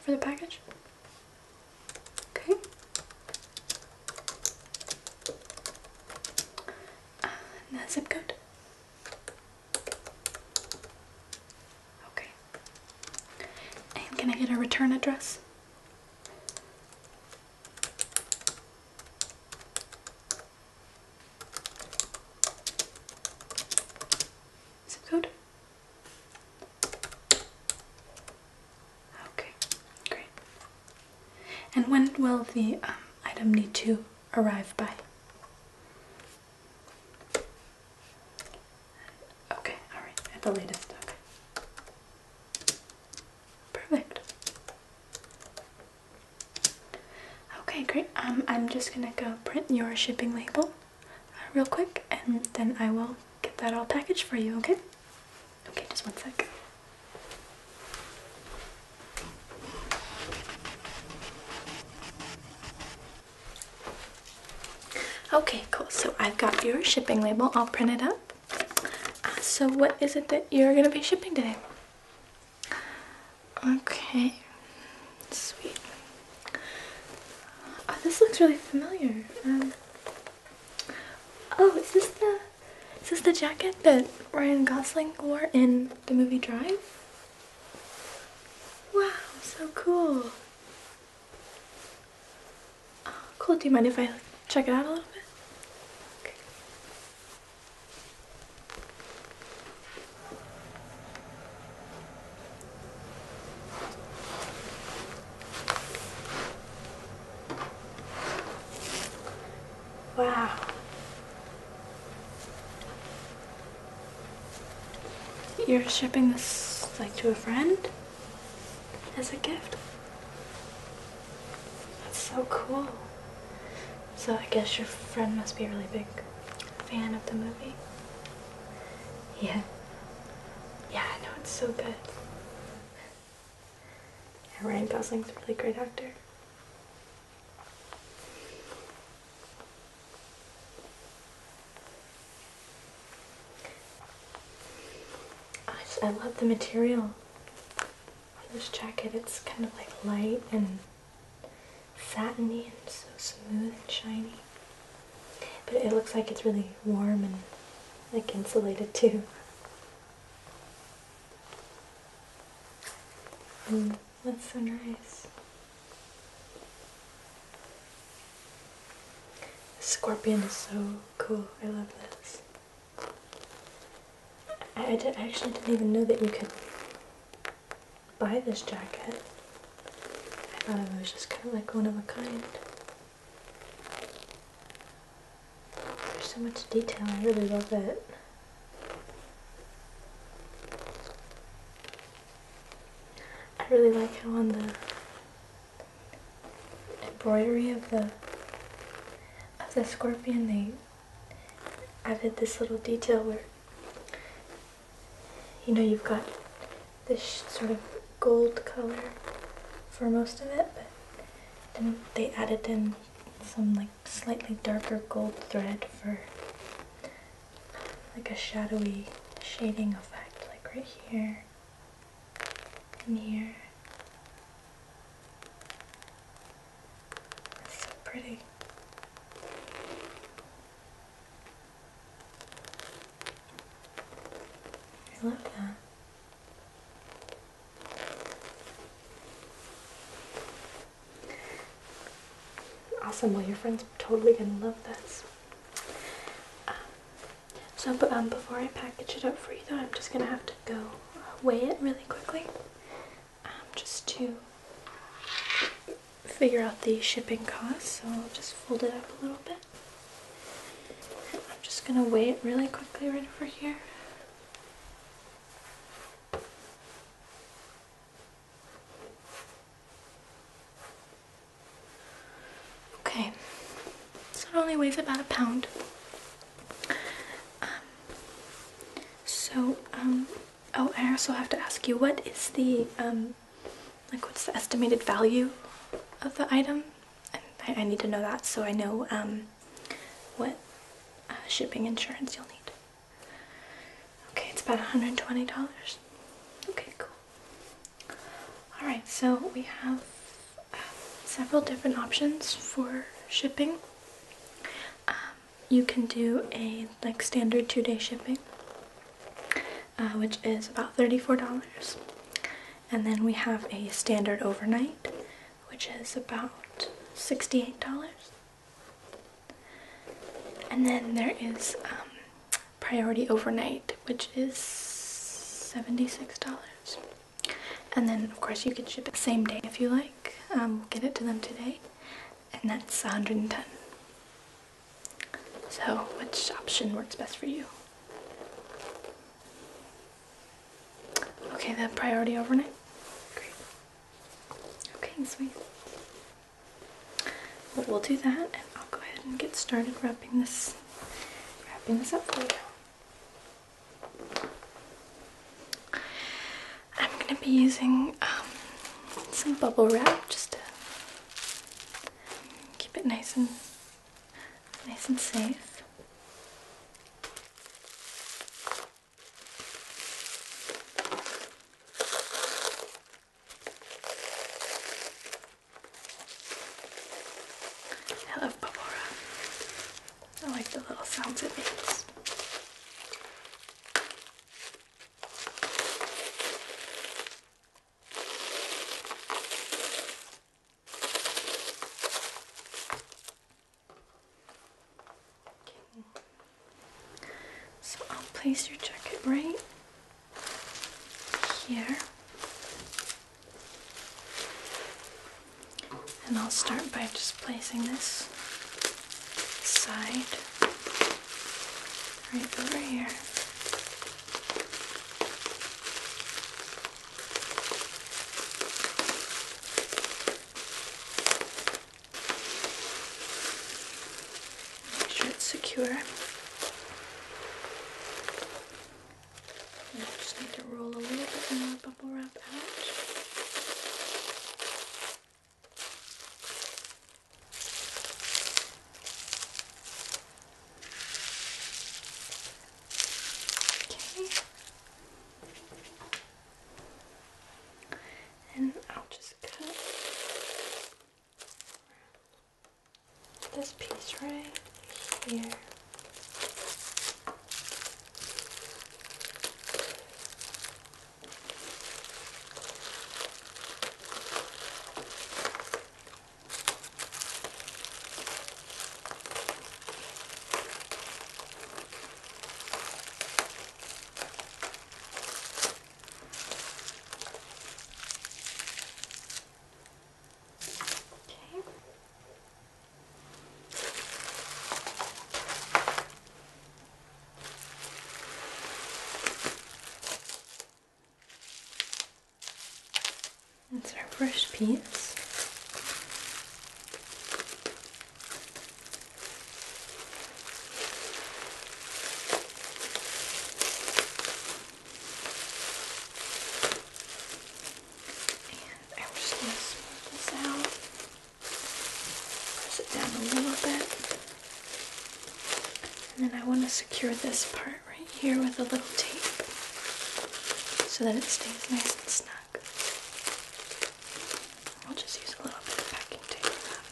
for the package. Okay. zip code. Okay. And can I get a return address? Zip code? Okay, great. And when will the um, item need to arrive by? Okay, alright, at the latest. Okay. Perfect. Okay, great. Um, I'm just gonna go print your shipping label uh, real quick and then I will get that all packaged for you, okay? Okay, just one sec. Okay, cool. So I've got your shipping label. I'll print it up. Uh, so what is it that you're going to be shipping today? Okay. Sweet. Oh, this looks really familiar. Um, Oh, is this the is this the jacket that Ryan Gosling wore in the movie Drive? Wow, so cool. Oh, cool. Do you mind if I check it out a little bit? Wow. You're shipping this like to a friend as a gift? That's so cool. So I guess your friend must be a really big fan of the movie. Yeah. Yeah, I know it's so good. Yeah, Ryan Gosling's a really great actor. I, love the material on this jacket. It's kind of like light and satiny and so smooth and shiny. But it looks like it's really warm and like insulated too. Mm, that's so nice. The scorpion is so cool. I love this. I actually didn't even know that you could buy this jacket. I thought it was just kind of like one of a kind. There's so much detail, I really love it. I really like how on the embroidery of the of the scorpion they added this little detail where you know you've got this sort of gold color for most of it, but then they added in some like slightly darker gold thread for like a shadowy shading effect, like right here and here. It's so pretty. I love that. Awesome. Well, your friend's totally gonna love this. Um, so, um, before I package it up for you, though, I'm just gonna have to go weigh it really quickly, um, just to figure out the shipping cost. So I'll just fold it up a little bit. I'm just going to wait really quickly right over here. Okay, so it only weighs about a pound. Um, so, um, oh, I also have to ask you, what is the, um, like, what's the estimated value of the item? I, I need to know that so I know, um, what uh, shipping insurance you'll need. Okay, it's about $120. Okay, cool. Alright, so we have uh, several different options for shipping. Um, you can do a like standard two-day shipping, uh, which is about $34. And then we have a standard overnight, which is about $68. And then there is um, priority overnight, which is $76. And then, of course, you can ship it same day if you like. Um, get it to them today. And that's 110 So, which option works best for you? Okay, that priority overnight? Great. Okay, sweet. we'll do that and I'll go ahead and get started wrapping this wrapping this up for you. I'm gonna be using um, some bubble wrap just to keep it nice and nice and safe. I love Barbora. I like the little sounds it makes. So I'll place your jacket right here. And I'll start by just placing this side right over here. Make sure it's secure. And I just need to roll a little bit more bubble wrap out. Okay and I'll just cut this piece right here. Okay. That's our first piece. And I'm just going to smooth this out. Press it down a little bit. And then I want to secure this part right here with a little tape so that it stays nice and snug back. I'll just use a little bit of packing tape for that.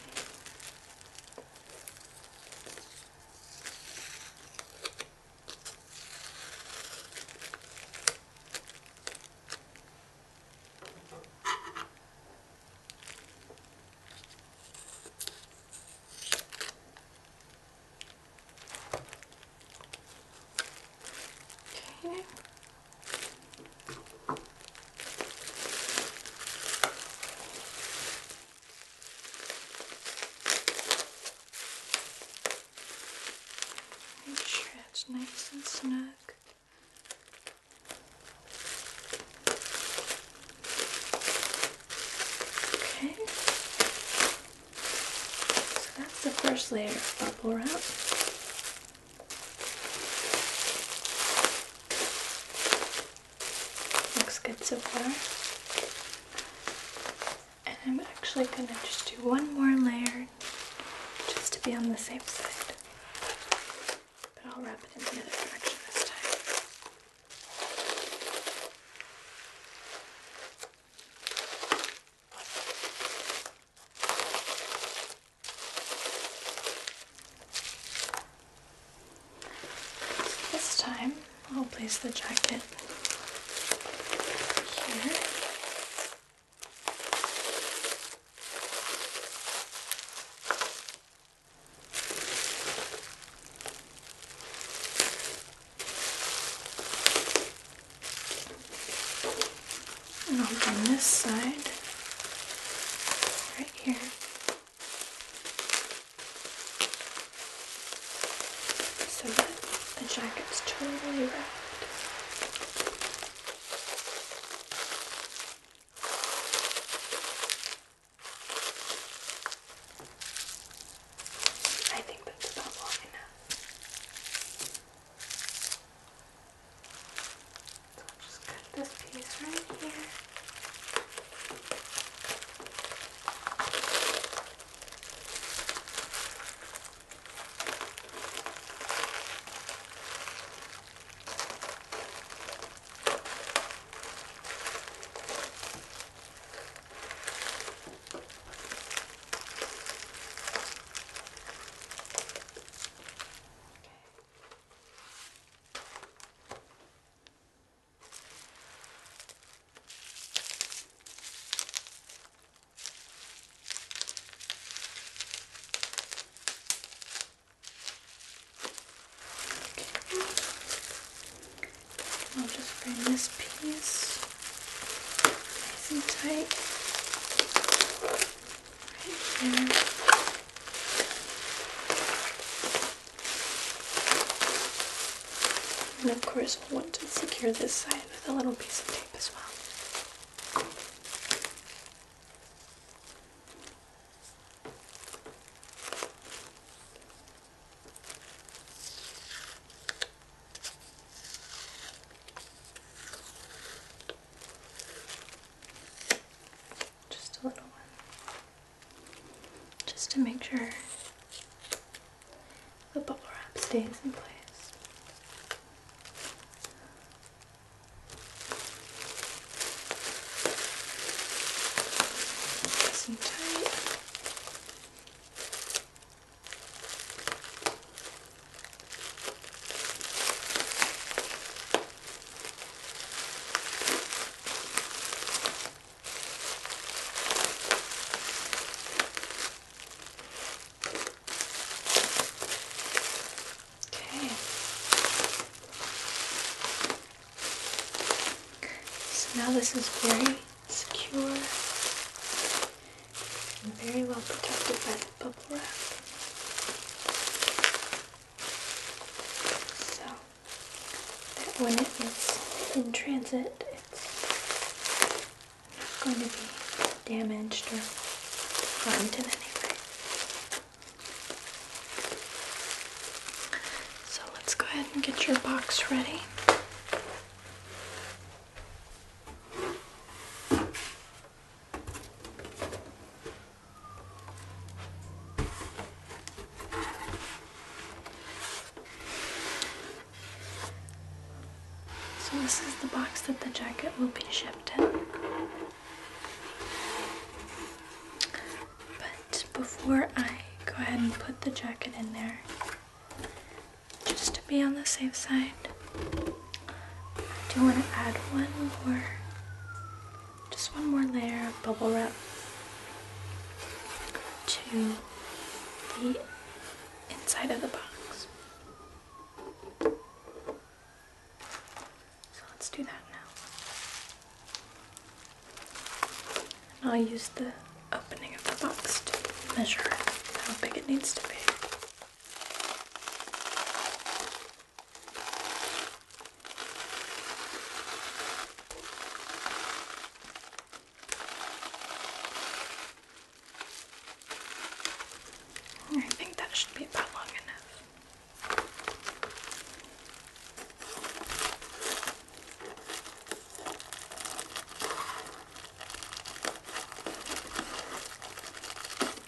Okay. Make sure it's nice and snug. Okay. So that's the first layer Looks good so far. And I'm actually going to just do one more layer just to be on the same side. But I'll wrap it in the other direction this time. This time I'll place the jacket here. And over on this side, right here. So that the jacket's totally wrapped. I think that's about long enough. So I'll just cut this piece right here. Okay, I'll just bring this piece nice and tight. And of course, we'll want to secure this side with a little piece of tape as well. Just a little one. Just to make sure the bubble wrap stays in place. Nice and tight. Okay. So now this is very secure very well protected by the bubble wrap. So that when it is in transit, it's not going to be damaged or harmed in any way. So let's go ahead and get your box ready. So this is the box that the jacket will be shipped in. But before I go ahead and put the jacket in there, just to be on the safe side, do want to add one more, just one more layer of bubble wrap to the inside of the box. So let's do that now. I'll use the opening of the box to measure how big it needs to be. I think that should be about long enough.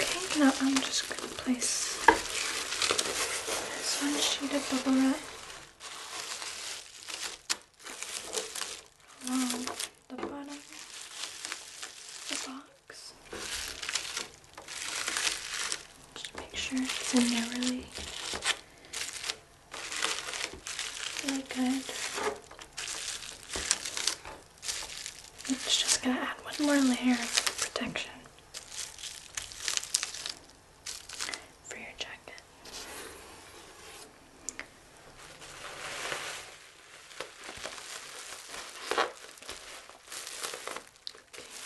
Okay, now I'm just going to place this one sheet of bubble wrap along the bottom of the box. Just make sure it's in there really, really good. It's just going to add one more layer of protection for your jacket.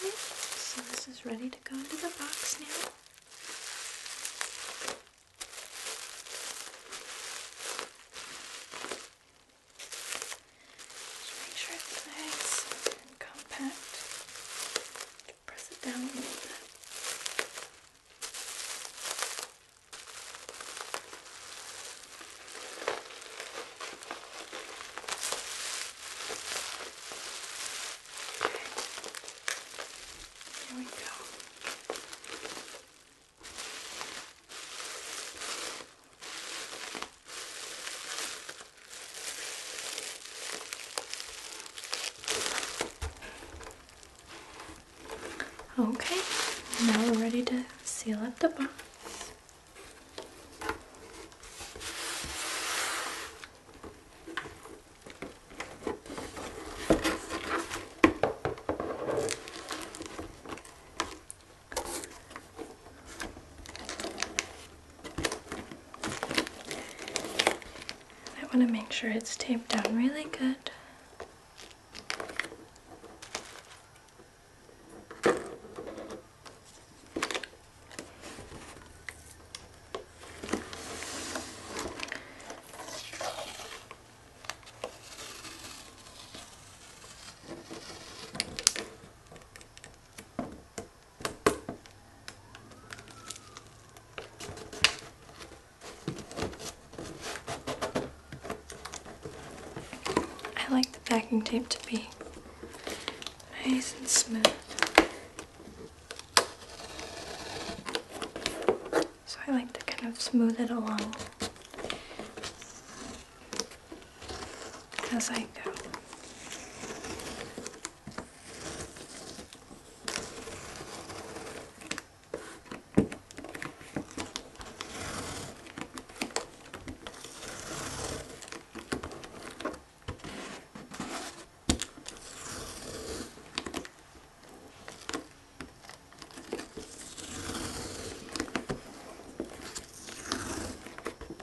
Okay, so this is ready to go into the box now. Just make sure it's nice and compact. Press it down a little bit. Okay. Here we go. Okay, now we're ready to seal up the box. I want to make sure it's taped down really good. I like the packing tape to be nice and smooth. So I like to kind of smooth it along as I go.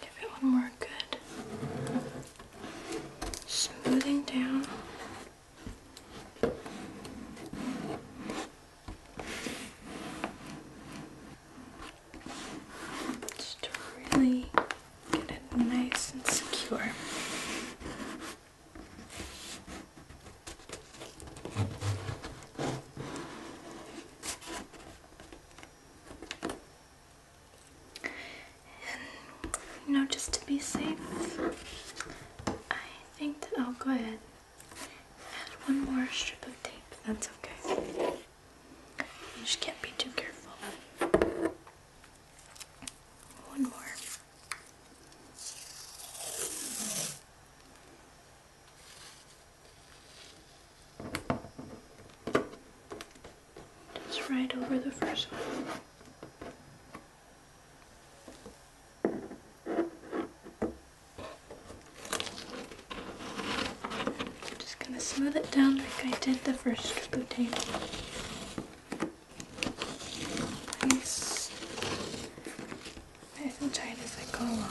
Give it one more good smoothing down. Just really Get it nice and secure. And you know, just to be safe, I think that I'll go ahead add one more strip of tape. That's okay. You just can't be too careful. One more. Just right over the first one just going to smooth it down like I did the first bouquet. Nice, nice and tight as I go along.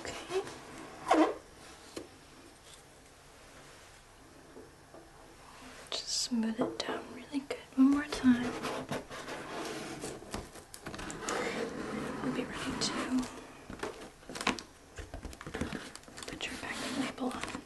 Okay. Just smooth it down really good one more time. We'll be ready to put your packing label on.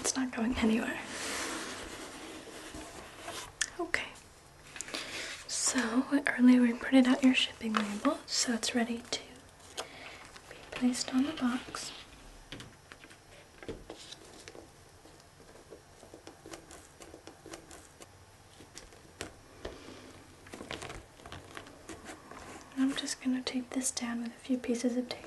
It's not going anywhere. Okay. So earlier we printed out your shipping label, so it's ready to be placed on the box. I'm just going to tape this down with a few pieces of tape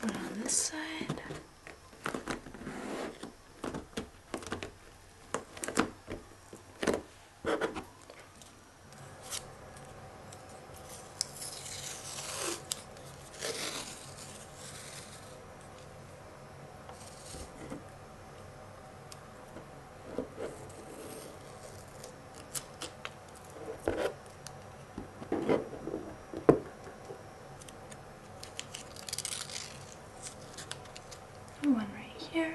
One on this side. And one right here.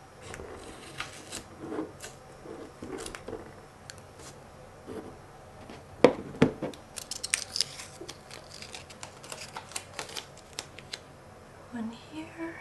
One here.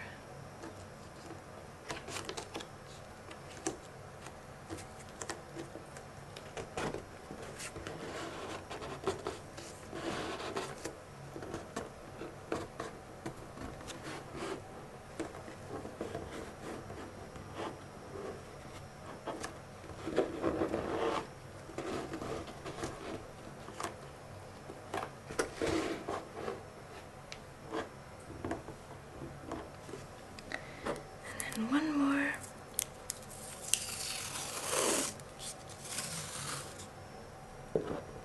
And then one more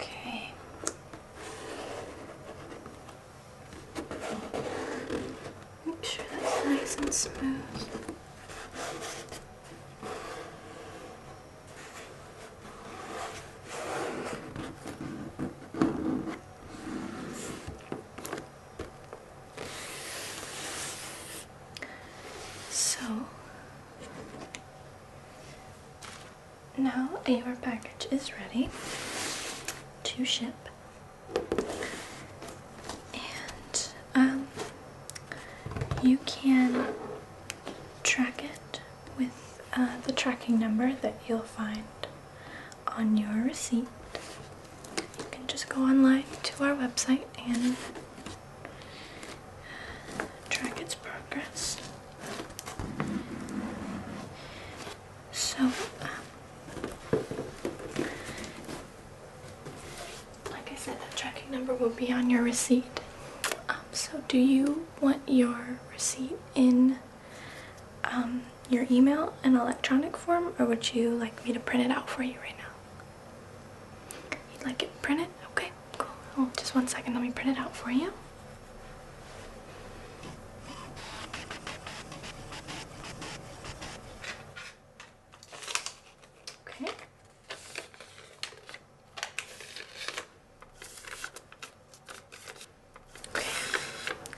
Okay. Make sure that's nice and smooth. So now your package is ready to ship. And um, you can track it with uh, the tracking number that you'll find on your receipt. You can just go online to our website and track its progress. So, um, like I said, the tracking number will be on your receipt. Um, so, do you want your receipt in um, your email in electronic form or would you like me to print it out for you right now? You'd like it printed? Okay, cool. Oh, just one second, let me print it out for you. Okay. Okay,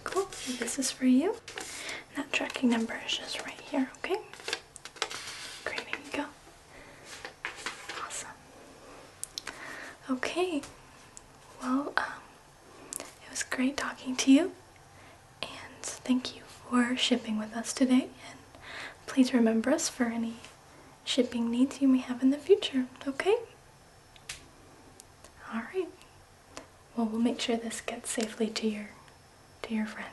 cool. this is for you that tracking number is just right here, okay? Great, there you go. Awesome. Okay, well, um, it was great talking to you, and thank you for shipping with us today. And please remember us for any shipping needs you may have in the future, okay? Alright, well, we'll make sure this gets safely to your to your friend.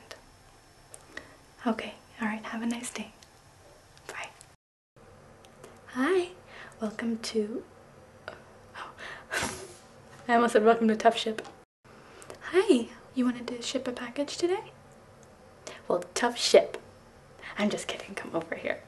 Okay, all right. Have a nice day. Bye. Hi. Welcome to oh. I almost said welcome to Tough Ship. Hi. You wanted to ship a package today? Well, tough ship. I'm just kidding. Come over here.